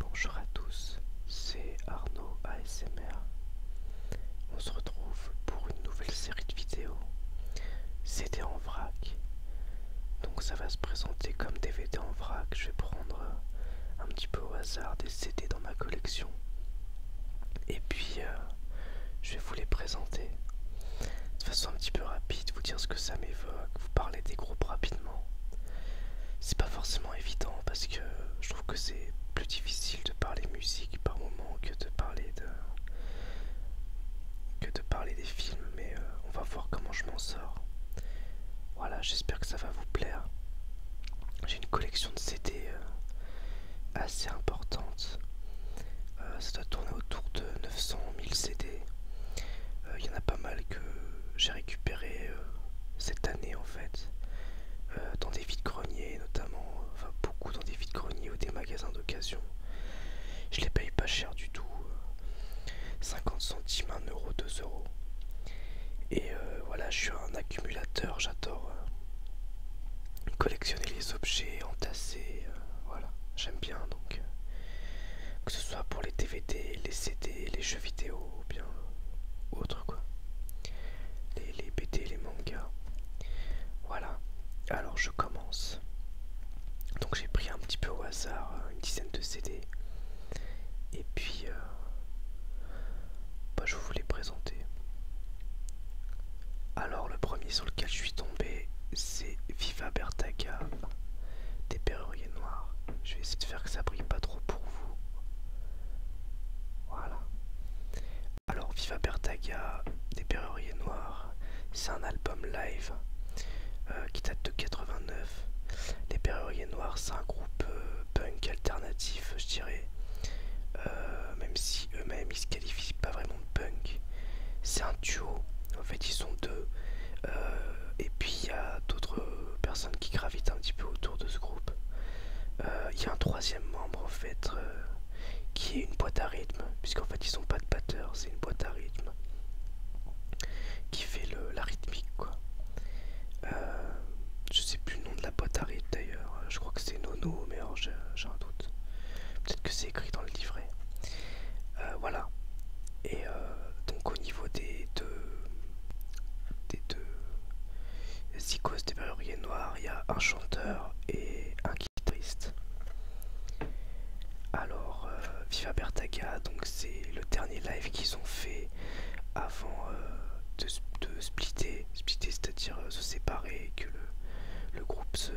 Bonjour à tous, c'est Arnaud ASMR. On se retrouve pour une nouvelle série de vidéos. C'était en vrac. Donc ça va se présenter comme DVD en vrac. Je vais prendre un petit peu au hasard des CD dans ma collection. Et puis euh, je vais vous les présenter de façon un petit peu rapide, vous dire ce que ça m'évoque, vous parler des groupes rapidement. C'est pas forcément évident parce que je trouve que c'est plus difficile de parler musique par moment que de parler de que de parler des films mais euh, on va voir comment je m'en sors voilà j'espère que ça va vous plaire j'ai une collection de CD euh, assez importante euh, ça doit tourner autour de 900 000 CD il y en a pas mal que j'ai récupéré euh, cette année en fait, euh, dans des vides-greniers notamment, euh, enfin beaucoup dans des vides-greniers ou des magasins d'occasion. Je les paye pas cher du tout, 50 centimes, 1 euro, 2 euros. Et voilà, je suis un accumulateur, j'adore collectionner les objets, entasser, voilà, j'aime bien donc. que ce soit pour les DVD, les CD, les jeux vidéo, ou bien autre quoi les, les les mangas voilà alors je commence donc j'ai pris un petit peu au hasard euh, une dizaine de CD et puis euh, bah, je vous les présenter alors le premier sur lequel je suis tombé c'est Viva Bertaga des perruriers noirs. Je vais essayer de faire que ça brille pas trop pour vous. Voilà. Alors, Viva Bertaga, des perruriers noirs. C'est un album live euh, qui date de 89. Les perruriers noirs, c'est un groupe euh, punk alternatif, je dirais. Euh, même si eux-mêmes ils se qualifient pas vraiment de punk. C'est un duo. En fait, ils sont deux. Euh, et puis il y a d'autres personnes qui gravitent un petit peu autour de ce groupe. Euh, il y a un troisième membre en fait euh, qui est une boîte à rythme, puisqu'en fait ils sont pas de batteur, c'est une boîte à rythme qui fait le, la rythmique quoi. je sais plus le nom de la boîte à rythme d'ailleurs, je crois que c'est Nono, mais j'ai un doute. Peut-être que c'est écrit dans le livret. voilà. Et donc au niveau des, des deux des deux des Barrières noires il y a un chanteur et un guitariste. Alors euh, Viva Bertaga, donc c'est le dernier live qu'ils ont fait avant euh, de, splitter, splitter c'est-à-dire euh, se séparer, que le, le groupe se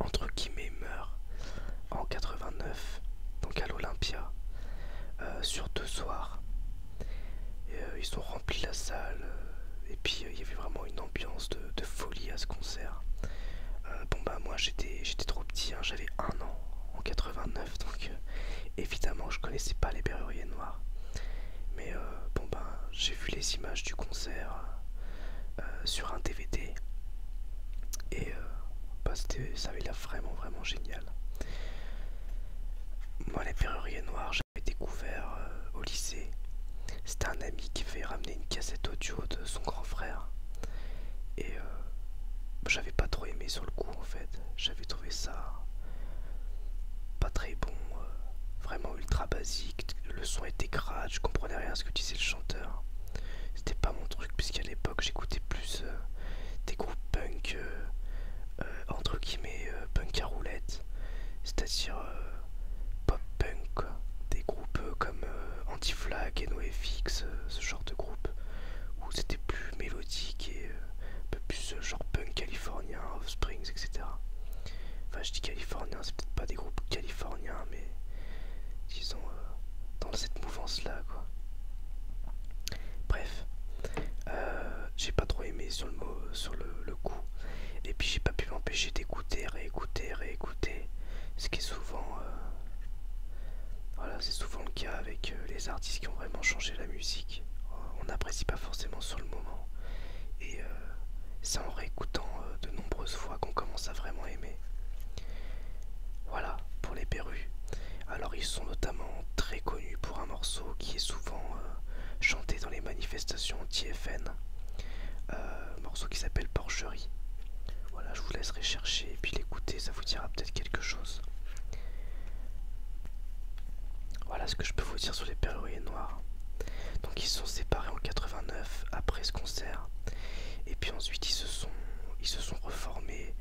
entre guillemets meurt en 89, donc à l'Olympia, euh, sur deux soirs. Euh, ils ont rempli la salle euh, et puis il y avait vraiment une ambiance de, folie à ce concert. bon bah moi j'étais j'étais trop petit, hein, j'avais un an en 89 donc évidemment je connaissais pas les Berruriers Noirs. Mais bon bah j'ai vu les images du concert sur un DVD et bah, ça avait vraiment vraiment génial. Moi les perruriers noirs j'avais découvert euh, au lycée. C'était un ami qui fait ramener une cassette audio de son grand frère. Et euh, j'avais pas trop aimé sur le coup en fait. J'avais trouvé ça pas très bon, euh, vraiment ultra basique. Le son était gras je comprenais rien à ce que disait le chanteur. C'était pas mon truc, puisqu'à l'époque j'écoutais plus euh, des groupes punk, euh, euh, entre guillemets, punk à roulette, c'est-à-dire pop punk, Des groupes comme Anti-Flag, NoFX, ce genre de groupe, où c'était plus mélodique et un peu plus genre punk californien, Offsprings, etc. Enfin, je dis californien, c'est peut-être pas des groupes californiens, mais disons, sont euh, dans cette mouvance-là, quoi. Bref, euh, j'ai pas trop aimé sur le, mot, sur le, coup, et puis j'ai pas pu m'empêcher d'écouter, réécouter, réécouter, ce qui est souvent... Euh, voilà, c'est souvent le cas avec les artistes qui ont vraiment changé la musique. On n'apprécie pas forcément sur le moment. Et c'est en réécoutant de nombreuses fois qu'on commence à vraiment aimer. Voilà pour les perrues. Alors ils sont notamment très connus pour un morceau qui est souvent euh, chanté dans les manifestations anti-FN, euh, morceau qui s'appelle Porcherie. Voilà, je vous laisserai chercher et puis l'écouter, ça vous dira peut-être quelque chose. Voilà ce que je peux vous dire sur les perrues noirs. Donc ils sont séparés en 89 après ce concert. Et puis ensuite ils se sont ils se sont reformés,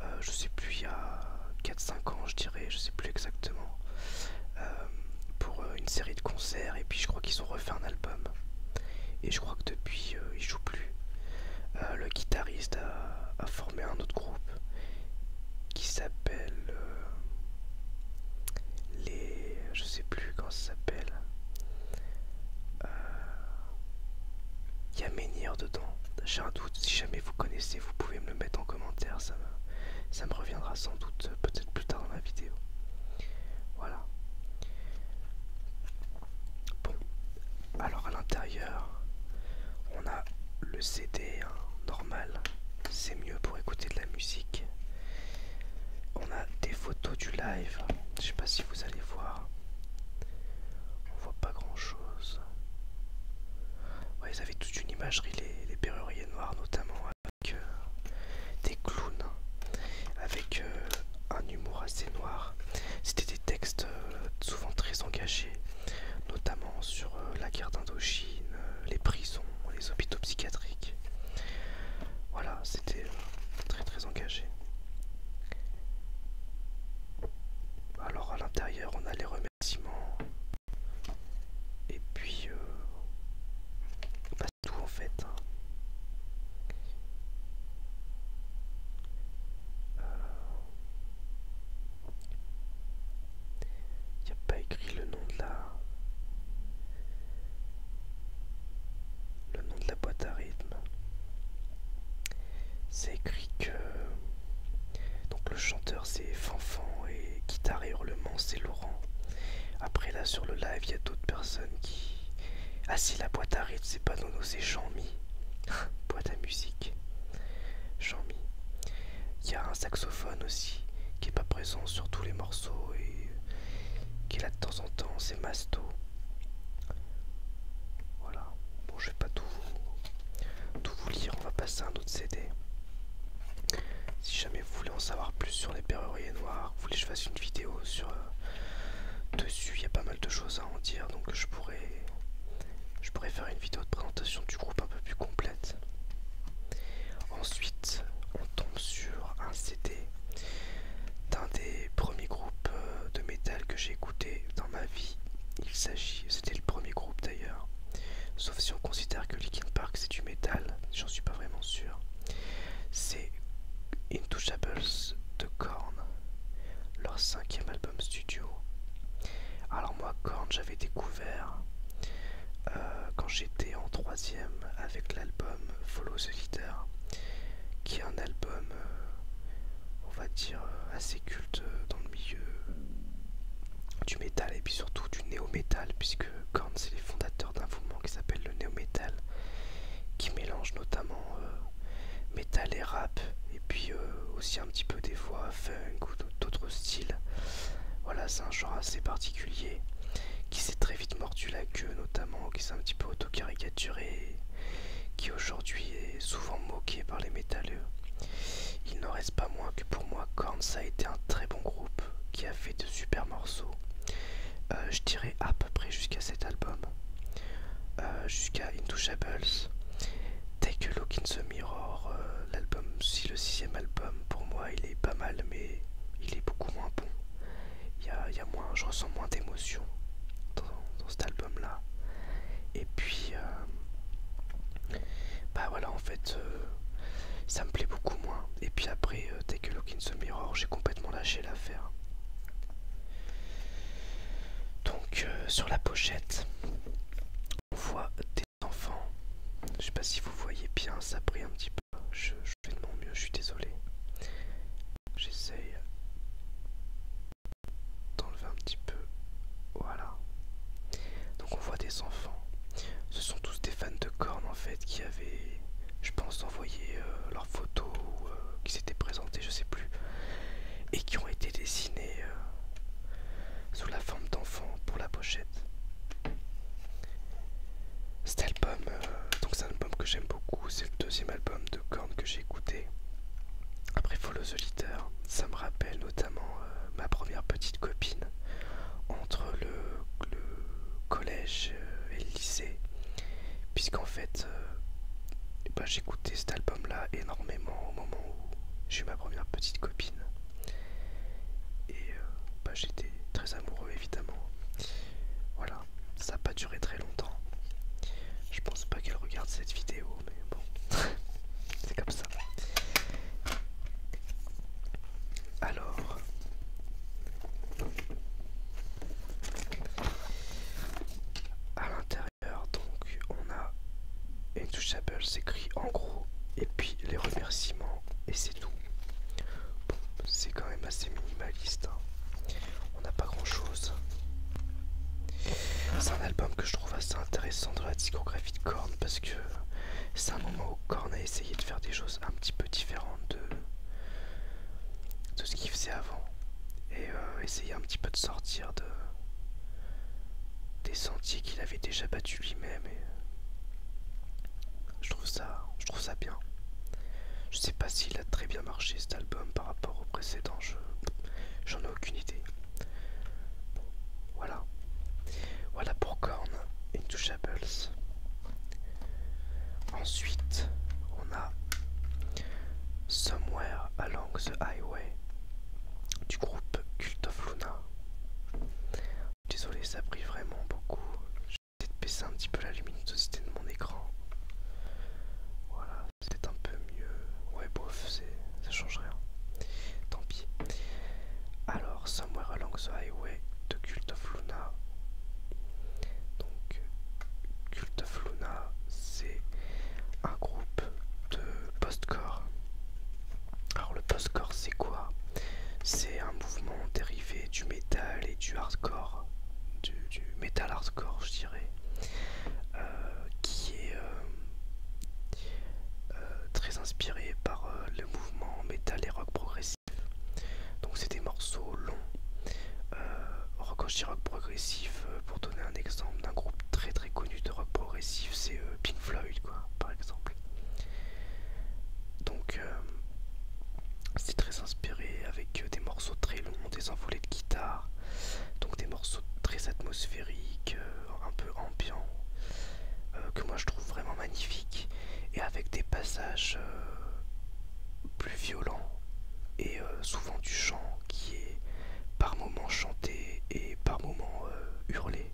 euh, je sais plus, il y a 4-5 ans, je dirais, je sais plus exactement, euh, pour euh, une série de concerts. Et puis je crois qu'ils ont refait un album. Et je crois que depuis, ils jouent plus. le guitariste a, formé un autre groupe qui s'appelle les je sais plus comment ça s'appelle il euh, y a menhir dedans. J'ai un doute, si jamais vous connaissez, vous pouvez me le mettre en commentaire, ça me, reviendra sans doute euh, peut-être plus tard dans la vidéo. Voilà. Bon, alors à l'intérieur, on a le CD hein, normal, c'est mieux pour écouter de la musique. On a des photos du live, je sais pas si vous allez voir. On voit pas grand chose. ils avaient toute une imagerie, les, péruriers noirs, notamment avec euh, des clowns, avec euh, un humour assez noir. C'était des textes euh, souvent très engagés, notamment sur la guerre d'Indochine, les prisons, les hôpitaux psychiatriques. Voilà, c'était euh, très très engagé. Alors à l'intérieur on a les remerciements et puis pas euh, bah, tout en fait. Il hein. n'y euh, a pas écrit le nom de la le nom de la boîte à rythme. C'est écrit que donc le chanteur c'est Fanfan et guitare et hurlement c'est Laurent. Après là sur le live il y a d'autres personnes qui ah si la boîte à rythme c'est pas Nono c'est Jean-Mi boîte à musique Jean-Mi. Il y a un saxophone aussi qui est pas présent sur tous les morceaux et qui est là de temps en temps c'est Masto. Voilà, bon je vais pas tout vous, lire, on va passer à un autre CD. Si jamais vous voulez en savoir plus sur les Péruriers noirs, vous voulez que je fasse une vidéo sur euh, dessus, il y a pas mal de choses à en dire, donc je pourrais, je pourrais faire une vidéo de présentation du groupe un peu plus complète. Ensuite, on tombe sur un CD d'un des premiers groupes euh, de metal que j'ai écouté dans ma vie, il s'agit, c'était le premier groupe d'ailleurs, sauf si on considère que Linkin Park c'est du métal, j'en suis pas vraiment sûr, c'est Intouchables de Korn, leur cinquième album studio. Alors moi Korn j'avais découvert euh, quand j'étais en troisième avec l'album Follow the Leader, qui est un album, euh, on va dire, euh, assez culte euh, dans le milieu du métal et puis surtout du néo-métal, puisque Korn, c'est les fondateurs d'un mouvement qui s'appelle le néo-métal, qui mélange notamment métal et rap, et puis aussi un petit peu des voix funk ou d'autres styles. Voilà, c'est un genre assez particulier qui s'est très vite mordu la queue, notamment, qui s'est un petit peu auto qui aujourd'hui est souvent moqué par les métalleux. Il n'en reste pas moins que pour moi, ça a été un très bon groupe qui a fait de super morceaux. Euh, je dirais à peu près jusqu'à cet album, euh, jusqu'à Intouchables, Take a Look in the Mirror, euh, l'album, si le sixième album pour moi il est pas mal mais il est beaucoup moins bon il moins, je ressens moins d'émotions dans, cet album là. Et puis, euh, bah voilà, en fait, euh, ça me plaît beaucoup moins. Et puis après, euh, dès que a Look in the Mirror, j'ai complètement lâché l'affaire. Donc, sur la pochette, on voit des enfants. Je sais pas si vous voyez bien, ça brille un petit peu. Je, je fais de mon mieux, je suis désolé j'essaye d'enlever un petit peu. Voilà. Donc on voit des enfants. Ce sont tous des fans de cornes en fait qui avaient, je pense, envoyé euh, leurs photos euh, qui s'étaient présentées, je sais plus, et qui ont été dessinés euh, sous la forme d'enfants pour la pochette. Cet album, euh, donc c'est un album que j'aime beaucoup, c'est le deuxième album de Korn que j'ai écouté. Après Follow the solitaire ça me rappelle notamment euh, ma première petite copine entre le, collège euh, et le lycée, puisqu'en fait eh ben, j'écoutais cet album là énormément au moment où j'ai eu ma première petite copine. Et bah, j'étais très amoureux évidemment. Voilà, ça n'a pas duré très longtemps. Je pense pas qu'elle regarde cette vidéo, mais bon, c'est comme ça. Alors, à l'intérieur, donc, on a une touche Apple, s'écrit en gros, et puis les remerciements, et c'est tout c'est quand même assez minimaliste. Hein. On n'a pas grand chose. C'est un album que je trouve assez intéressant dans la discographie de Korn parce que c'est un moment où Korn a essayé de faire des choses un petit peu différentes de, ce qu'il faisait avant et essayé euh, essayer un petit peu de sortir de, des sentiers qu'il avait déjà battus lui-même je trouve ça, je trouve ça bien. Je sais pas s'il a très bien marché cet album par rapport au précédent, j'en ai aucune idée. voilà. Voilà pour Korn Intouchables. Ensuite, on a Somewhere Along the Highway du groupe Cult of Luna. Désolé, ça a pris vraiment beaucoup peut-être baisser un petit peu la luminosité de mon écran. Voilà, c'est peut-être un peu mieux. Ouais, bof, ça change rien. Tant pis. Alors, Somewhere Along the Highway de Cult of Luna. Donc, Cult of Luna, c'est un groupe de post-core Alors, le postcore, c'est quoi C'est un mouvement dérivé du métal et du hardcore du, metal hardcore, je dirais, euh, qui est euh, euh, très inspiré par le mouvement metal et rock progressif. Donc c'est des morceaux longs. Rock rock progressif, pour donner un exemple d'un groupe très très connu de rock progressif, c'est Pink Floyd, quoi, par exemple. Donc euh, c'est très inspiré avec euh, des morceaux très longs, des envolées de guitare, donc des morceaux très atmosphériques, euh, un peu ambiants, que moi je trouve vraiment magnifique et avec des passages plus violents et souvent du chant qui est par moments chanté et par moments hurlé.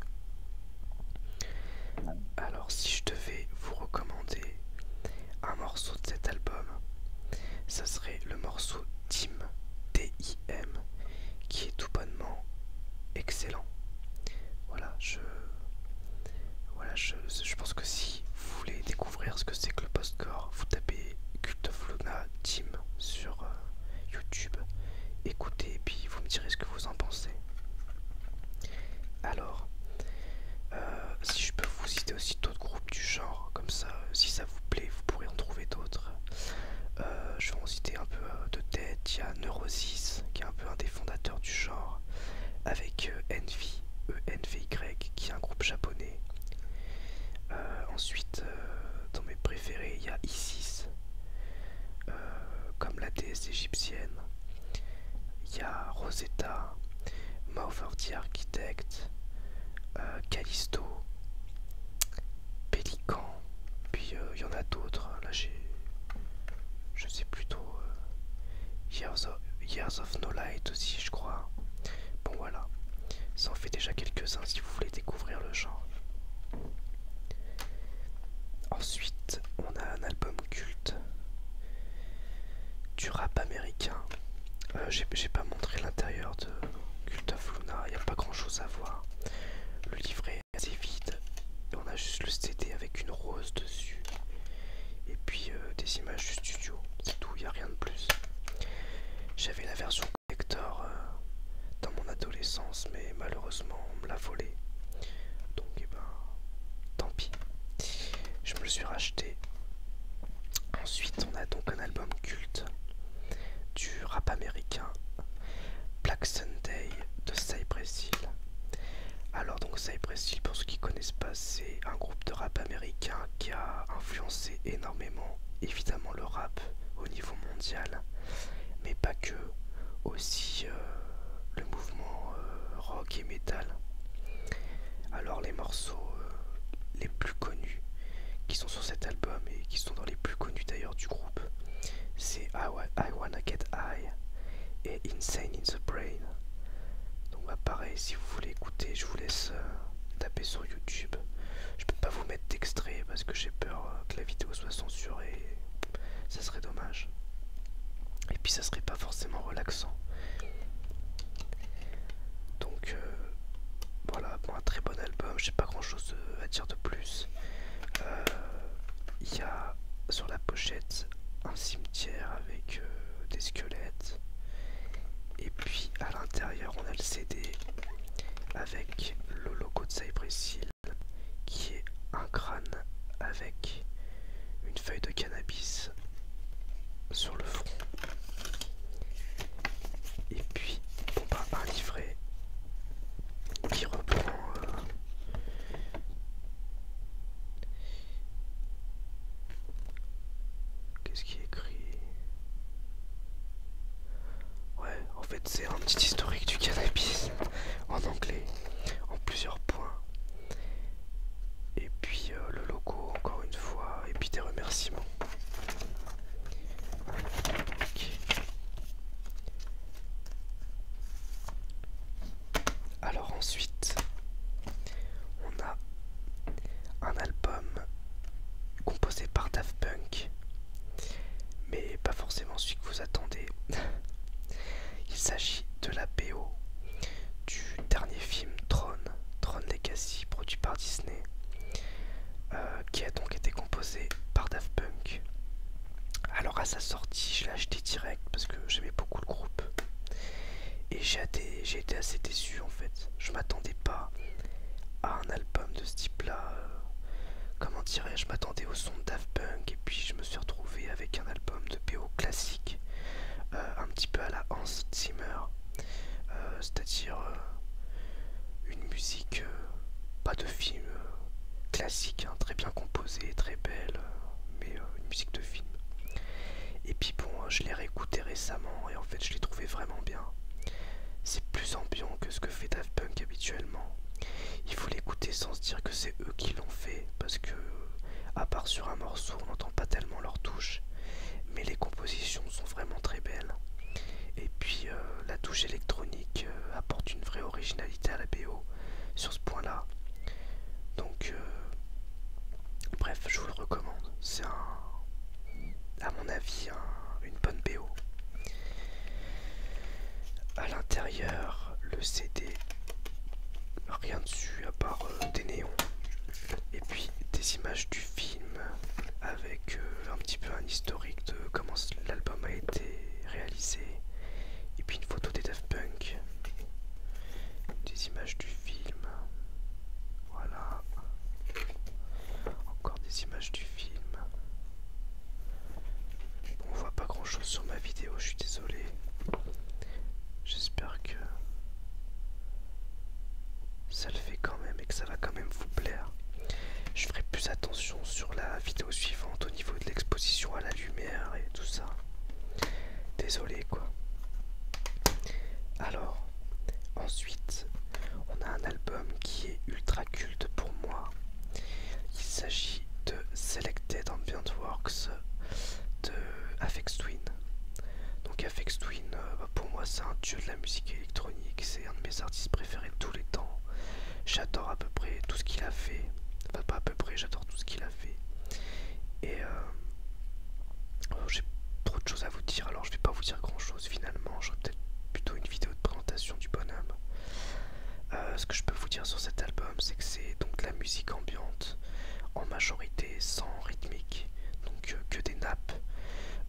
Alors si je devais vous recommander un morceau de cet album, ça serait le morceau Tim, T-I-M, qui est tout bonnement excellent. Voilà, je, voilà, je, pense que si vous voulez découvrir ce que c'est que le postcore, vous tapez Cult of Luna Team sur euh, YouTube, écoutez et puis vous me direz ce que vous en pensez. Alors, euh, si je peux vous citer aussi d'autres groupes du genre, comme ça, si ça vous plaît, vous pourrez en trouver d'autres. Euh, je vais en citer un peu euh, de tête. Il y a Neurosis, qui est un peu un des fondateurs du genre, avec N Envy, E-N-V-Y, qui est un groupe japonais. ensuite, dans mes préférés, il y a Isis, comme la déesse égyptienne. Il y a Rosetta, the Architect, euh, Callisto, Pelican, puis euh, il y en a d'autres. Hein. Là j'ai. Je sais plutôt. Euh, Years, of, Years No Light aussi, je crois. Bon voilà. Ça en fait déjà quelques-uns si vous voulez découvrir le genre. Ensuite, on a un album culte du rap américain. Euh, j'ai pas montré l'intérieur de Cult of Luna, il n'y a pas grand chose à voir. Le livret est assez vide, et on a juste le CD avec une rose dessus, et puis euh, des images du studio, c'est tout, il n'y a rien de plus. J'avais la version collector euh, dans mon adolescence, mais malheureusement on me l'a volé donc et eh ben, tant pis. Je me le suis racheté. Ensuite, on a donc un album culte du rap américain Black Sunday de Cypress Hill. Alors donc Cypress Hill, pour ceux qui ne connaissent pas, c'est un groupe de rap américain qui a influencé énormément, évidemment le rap au niveau mondial, mais pas que, aussi euh, le mouvement euh, rock et metal. Alors les morceaux euh, les plus connus qui sont sur cet album et qui sont dans les plus connus d'ailleurs du groupe, c'est I, I Wanna Get High et Insane in the Brain. Donc bah, pareil, si vous voulez écouter, je vous laisse euh, taper sur YouTube. Je peux pas vous mettre d'extrait parce que j'ai peur que la vidéo soit censurée. Ça serait dommage. Et puis ça serait pas forcément relaxant. Donc euh, voilà, pour un très bon album, j'ai pas grand chose à dire de plus. Euh, il y a sur la pochette un cimetière avec euh, des squelettes. Et puis à l'intérieur on a le CD avec le logo de Cypress qui est un crâne avec une feuille de cannabis sur le front. Et puis, on bah, un livret qui reprend. Euh, qu'est-ce qui est écrit Ouais, en fait, c'est un petit historique du cannabis en anglais, en plusieurs points, et puis euh, le logo encore une fois, et puis des remerciements. Alors ensuite, on a un album composé par Daft Punk, mais pas forcément celui que vous attendez. Il s'agit de la BO du dernier film Tron, Tron Legacy, produit par Disney, euh, qui a donc été composé par Daft Punk. Alors à sa sortie, je l'ai acheté direct parce que j'aimais beaucoup le groupe. Et j'ai été, assez déçu en fait. Je m'attendais pas à un album de ce type-là. Euh, comment dirais-je Je m'attendais au son de Daft Punk et puis je me suis retrouvé avec un album de BO classique euh, un petit peu à la Hans Zimmer, euh, c'est-à-dire euh, une musique pas de film classique, hein, très bien composée, très belle, mais une musique de film. Et puis bon, je l'ai réécouté récemment et en fait je l'ai trouvé vraiment bien. C'est plus ambiant que ce que fait Daft Punk habituellement. Il faut l'écouter sans se dire que c'est eux qui l'ont fait parce que à part sur un morceau, on n'entend pas tellement leur touches, mais les compositions sont vraiment très belles. Et puis euh, la touche électronique euh, apporte une vraie originalité à la BO sur ce point-là. Donc, euh, bref, je vous le recommande. C'est un à mon avis, une bonne BO. À l'intérieur D'ailleurs, le CD, rien dessus à part euh, des néons, et puis des images du film avec euh, un petit peu un historique de comment l'album a été réalisé, et puis une photo des Daft Punk, des images du film, voilà, encore des images du film on voit pas grand chose sur ma vidéo, je suis désolé. J'espère que ça le fait quand même et que ça va quand même vous plaire. Je ferai plus attention sur la vidéo suivante au niveau de l'exposition à la lumière et tout ça. Désolé quoi. Alors, ensuite, on a un album qui est ultra culte pour moi. Il s'agit de Selected Ambient Works de Afex Twin. Donc Afex Twin, euh, bah, pour moi c'est un dieu de la musique électronique, c'est un de mes artistes préférés de tous les temps. J'adore à peu près tout ce qu'il a fait. Enfin pas à peu près, j'adore tout ce qu'il a fait. Et euh, oh, j'ai trop de choses à vous dire, alors je vais pas vous dire grand chose finalement, j'aurais peut-être plutôt une vidéo de présentation du bonhomme. Euh, ce que je peux vous dire sur cet album, c'est que c'est donc de la musique ambiante, en majorité sans rythmique, donc euh, que des nappes.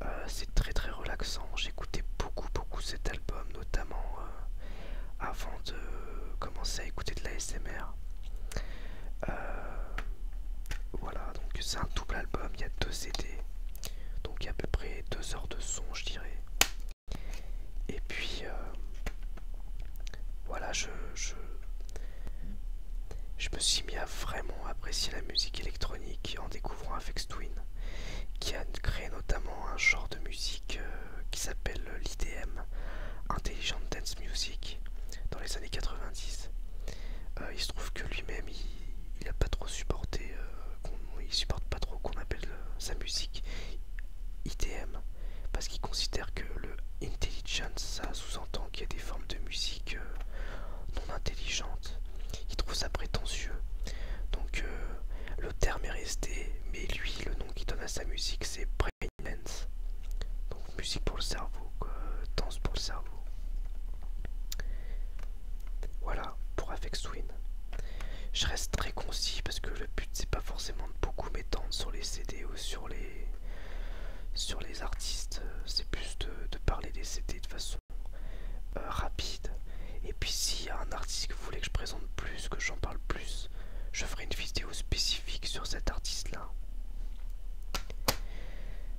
Euh, c'est très très relaxant. j'ai écouté beaucoup beaucoup cet album, notamment avant de commencer à écouter de la SMR. voilà, donc c'est un double album, il y a deux CD, donc il y a à peu près deux heures de son, je dirais. Et puis euh, voilà, je, me suis mis à vraiment apprécier la musique électronique en découvrant Afex Twin, qui a créé notamment un genre de musique euh, qui s'appelle l'IDM, Intelligent Dance Music, dans les années 90. Euh, il se trouve que lui-même, il n'a pas trop supporté, qu'on il supporte pas trop qu'on appelle sa musique ITM parce qu'il considère que le intelligence ça sous-entend qu'il y a des formes de musique euh, non intelligente. Il trouve ça prétentieux. Donc euh, le terme est resté, mais lui le nom qu'il donne à sa musique c'est Brainance. Donc musique pour le cerveau, danse pour le cerveau. Voilà pour Affect Twin. Je reste très concis parce que le but c'est pas forcément de beaucoup sur les CD ou sur les, sur les artistes. Euh, c'est plus de, parler des CD de façon euh, rapide. Et puis s'il y a un artiste que vous voulez que je présente plus, que j'en parle plus, je ferai une vidéo spécifique sur cet artiste-là.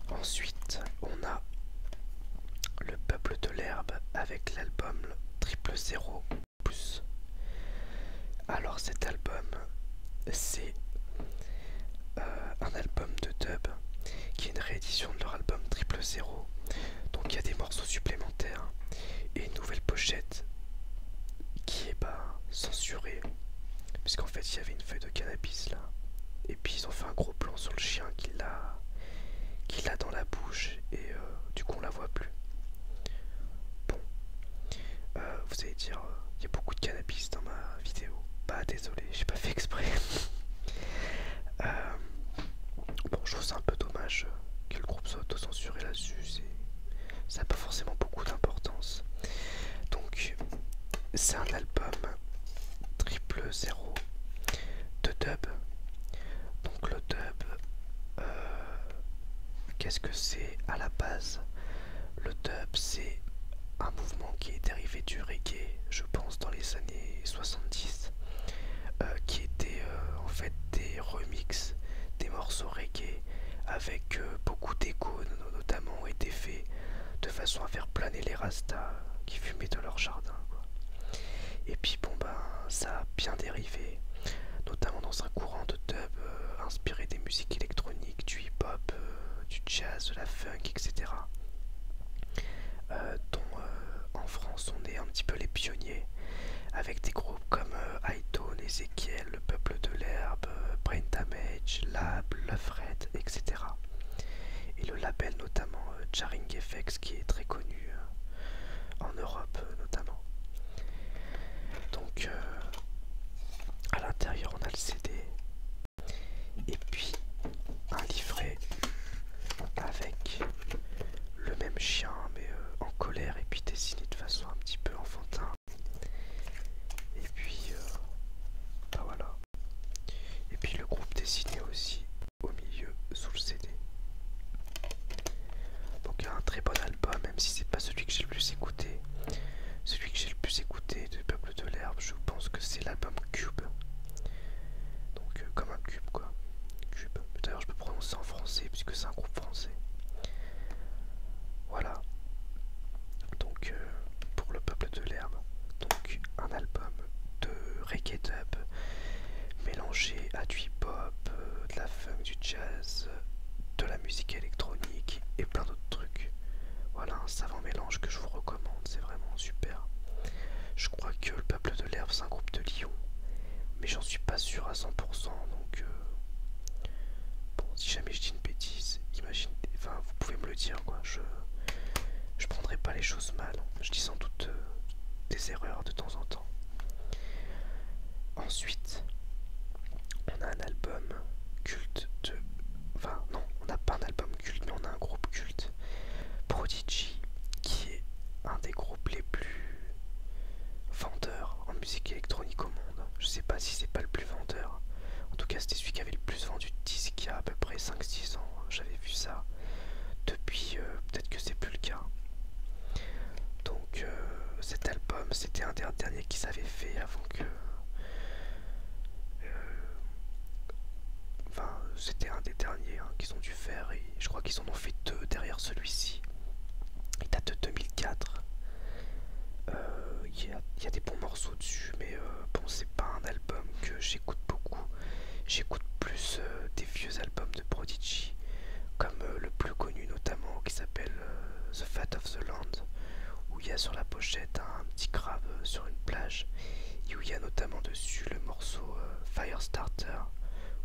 Ensuite, on a le peuple de l'herbe avec l'album Triple Zéro alors cet album, c'est euh, un album de dub qui est une réédition de leur album Triple Zero. Donc il y a des morceaux supplémentaires et une nouvelle pochette qui est bah, censurée. Puisqu'en fait il y avait une feuille de cannabis là. Et puis ils ont fait un gros plan sur le chien qui l'a qui a dans la bouche et euh, du coup on la voit plus. Bon, euh, vous allez dire, euh, il y a beaucoup de cannabis dans ma vidéo. Bah désolé, j'ai pas fait exprès. Euh, bon, je trouve ça un peu dommage que le groupe soit auto-censuré là-dessus. Ça n'a pas forcément beaucoup d'importance. Donc, c'est un album triple zéro de dub. Donc le dub, Qu'est-ce que c'est à la base Le dub, c'est un mouvement qui est dérivé du reggae, je pense, dans les années 70, euh, qui était euh, en fait des remixes des morceaux reggae avec euh, beaucoup d'échos, notamment, et faits de façon à faire planer les rastas qui fumaient dans leur jardin. Et puis, bon, ben, ça a bien dérivé notamment dans un courant de dub euh, inspiré des musiques électroniques, du hip-hop, euh, du jazz, de la funk, etc. Euh, dont en France on est un petit peu les pionniers, avec des groupes comme Hightone, Ezekiel, Le Peuple de l'Herbe, Brain Damage, Lab, Red, etc. Et le label notamment Charing FX qui est très connu en Europe euh, notamment. Donc euh, à l'intérieur on a le CD et puis un livret avec le même chien mais euh, en colère et puis dessiné de façon un petit peu enfantin. Et puis bah voilà. Et puis le groupe dessiné aussi au milieu sous le CD. Donc un très bon album, même si c'est pas celui que j'ai le plus écouté. Celui que j'ai le plus écouté de Peuple de l'herbe, je pense que c'est l'album Cube. Donc euh, comme un cube quoi. Cube. D'ailleurs je peux prononcer en français puisque c'est un groupe français. Voilà. Donc euh, pour le Peuple de l'herbe, donc un album de reggae dub mélangé à du pop. Euh, de la du jazz, de la musique électronique et plein d'autres trucs. Voilà un savant mélange que je vous recommande, c'est vraiment super. Je crois que le peuple de l'herbe c'est un groupe de Lyon, mais j'en suis pas sûr à 100%, donc euh, si jamais je dis une bêtise, imagine, enfin vous pouvez me le dire quoi, je je prendrai pas les choses mal, je dis sans doute euh, des erreurs de temps en temps. Ensuite, on a un album culte de... Enfin non, on n'a pas un album culte, mais on a un groupe culte. Prodigy, qui est un des groupes les plus vendeurs en musique électronique au monde. Je sais pas si c'est pas le plus vendeur. En tout cas, c'était celui qui avait le plus vendu de disques il y a à peu près 5-6 ans. J'avais vu ça. Depuis, euh, peut-être que c'est plus le cas. Donc euh, cet album, c'était un des derniers qu'ils avaient fait avant que... Euh, enfin, c'était un des derniers hein, qu'ils ont dû faire et je crois qu'ils en ont fait deux derrière celui-ci. Euh, il date de 2004. Il y, a des bons morceaux dessus, mais bon, c'est pas un album que j'écoute beaucoup. J'écoute plus des vieux albums de Prodigy, comme euh, le plus connu notamment qui s'appelle euh, The Fat of the Land, où il y a sur la pochette un, petit grave euh, sur une plage, et où il y a notamment dessus le morceau Firestarter,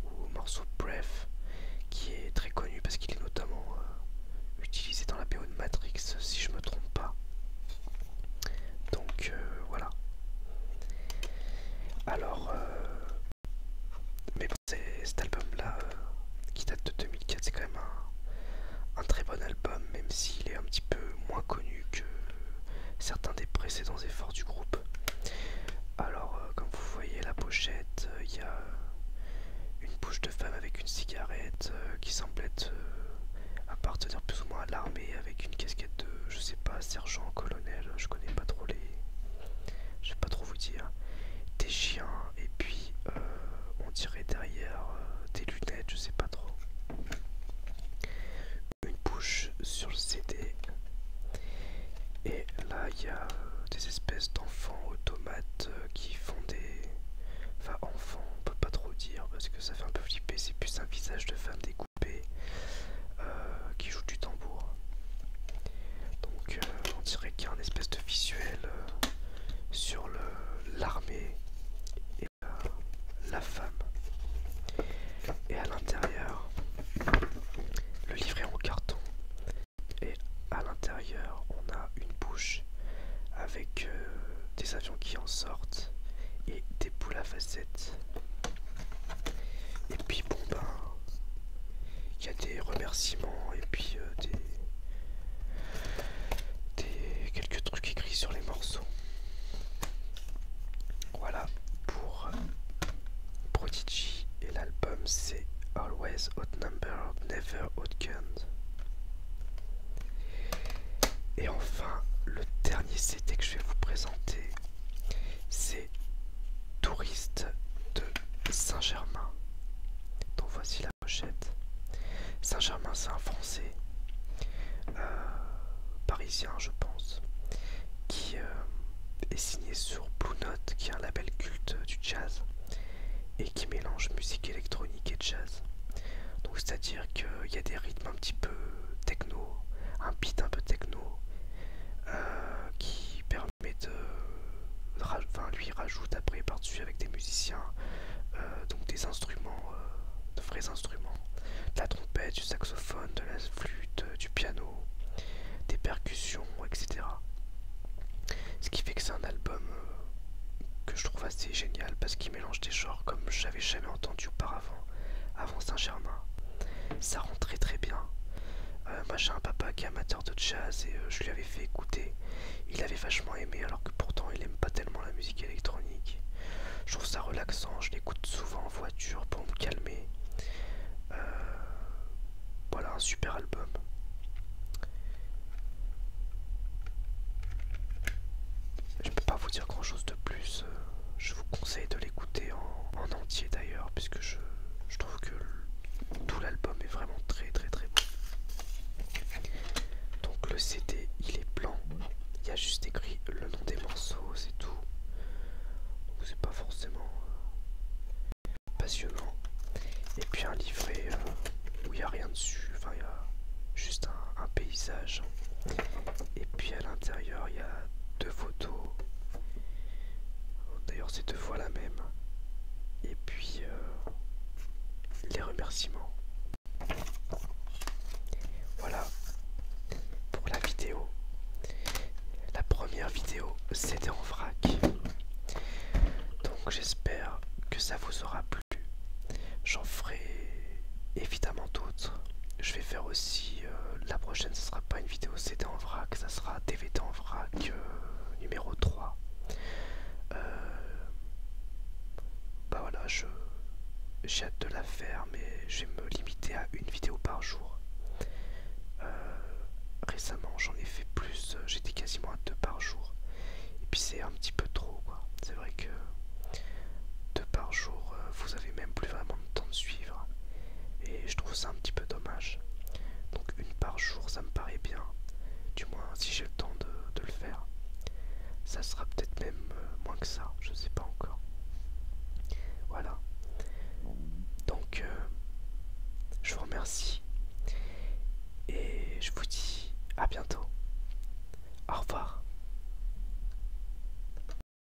ou morceau Breath, qui est très connu parce qu'il est notamment utilisé dans la BO de Matrix, si je me trompe pas. Donc voilà. Alors, mais bon, cet album-là, euh, qui date de 2004, c'est quand même un, très bon album, même s'il est un petit peu moins connu que certains des précédents efforts du groupe. Alors, euh, comme vous voyez la pochette, euh, il y a une bouche de femme avec une cigarette qui semble être appartenir plus ou moins à l'armée avec une casquette de, je sais pas, sergent, colonel, je connais pas trop les, je vais pas trop vous dire, des chiens et puis euh, on dirait derrière euh, des lunettes, je sais pas trop. Une bouche sur le CD. Et là il y a euh, des espèces d'enfants automates qui font des... Enfin enfants, on peut pas trop dire parce que ça fait un peu flipper, c'est plus un visage de femme coups euh, qui joue du tambour. Donc euh, on dirait qu'il y a un espèce de visuel euh, sur l'armée et la femme. Et à l'intérieur, le livret en carton. Et à l'intérieur, on a une bouche avec des avions qui en sortent et des poules à facettes. Et puis bon ben il y a des remerciements et puis euh, des, des quelques trucs écrits sur les morceaux. Voilà pour euh, Prodigy et l'album c'est Always Number, Never Guns. Et enfin, le dernier CD que je vais vous présenter, c'est Touriste de Saint-Germain, dont voici la pochette. Saint-Germain, c'est un Français, euh, parisien je pense, qui euh, est signé sur Blue Note, qui est un label culte du jazz, et qui mélange musique électronique et jazz. Donc c'est-à-dire qu'il y a des rythmes un petit peu techno, un beat un peu techno, euh, qui permet euh, de, lui rajoute après par-dessus avec des musiciens, euh, donc des instruments, de vrais instruments, de la trompette, du saxophone, de la flûte, du piano, des percussions, etc. Ce qui fait que c'est un album que je trouve assez génial parce qu'il mélange des genres comme je n'avais jamais entendu auparavant avant Saint-Germain ça rend très très bien. Euh, moi j'ai un papa qui est amateur de jazz et euh, je lui avais fait écouter. Il avait vachement aimé alors que pourtant il aime pas tellement la musique électronique. Je trouve ça relaxant, je l'écoute souvent en voiture pour me calmer. Euh, voilà un super album. Je peux pas vous dire grand chose de plus. Je vous conseille de l'écouter en, entier d'ailleurs, puisque je, trouve que tout l'album est vraiment très très très bon. Donc le CD il est blanc, il y a juste écrit le nom des morceaux, c'est tout. Donc c'est pas forcément euh, passionnant. Et puis un livret euh, où il n'y a rien dessus, enfin il y a juste un paysage. Et puis à l'intérieur il y a deux photos Oh, d'ailleurs, c'est deux fois la même. Et puis, euh, les remerciements. Voilà pour la vidéo. La première vidéo, c'était en vrac. Donc, j'espère que ça vous aura plu. J'en ferai évidemment d'autres. Je vais faire aussi euh, la prochaine ce sera pas une vidéo CD en vrac ça sera DVD en vrac euh, numéro 3 euh, bah voilà je j'ai hâte de la faire mais je vais me limiter à une vidéo par jour récemment j'en ai fait plus j'étais quasiment à deux par jour et puis c'est un petit peu trop quoi c'est vrai que deux par jour vous avez même plus vraiment de temps de suivre et je trouve ça un petit peu dommage. Donc une par jour, ça me paraît bien. Du moins, si j'ai le temps de, le faire. Ça sera peut-être même euh, moins que ça, je sais pas encore. Voilà. Donc, euh, je vous remercie. Et je vous dis à bientôt. Au revoir.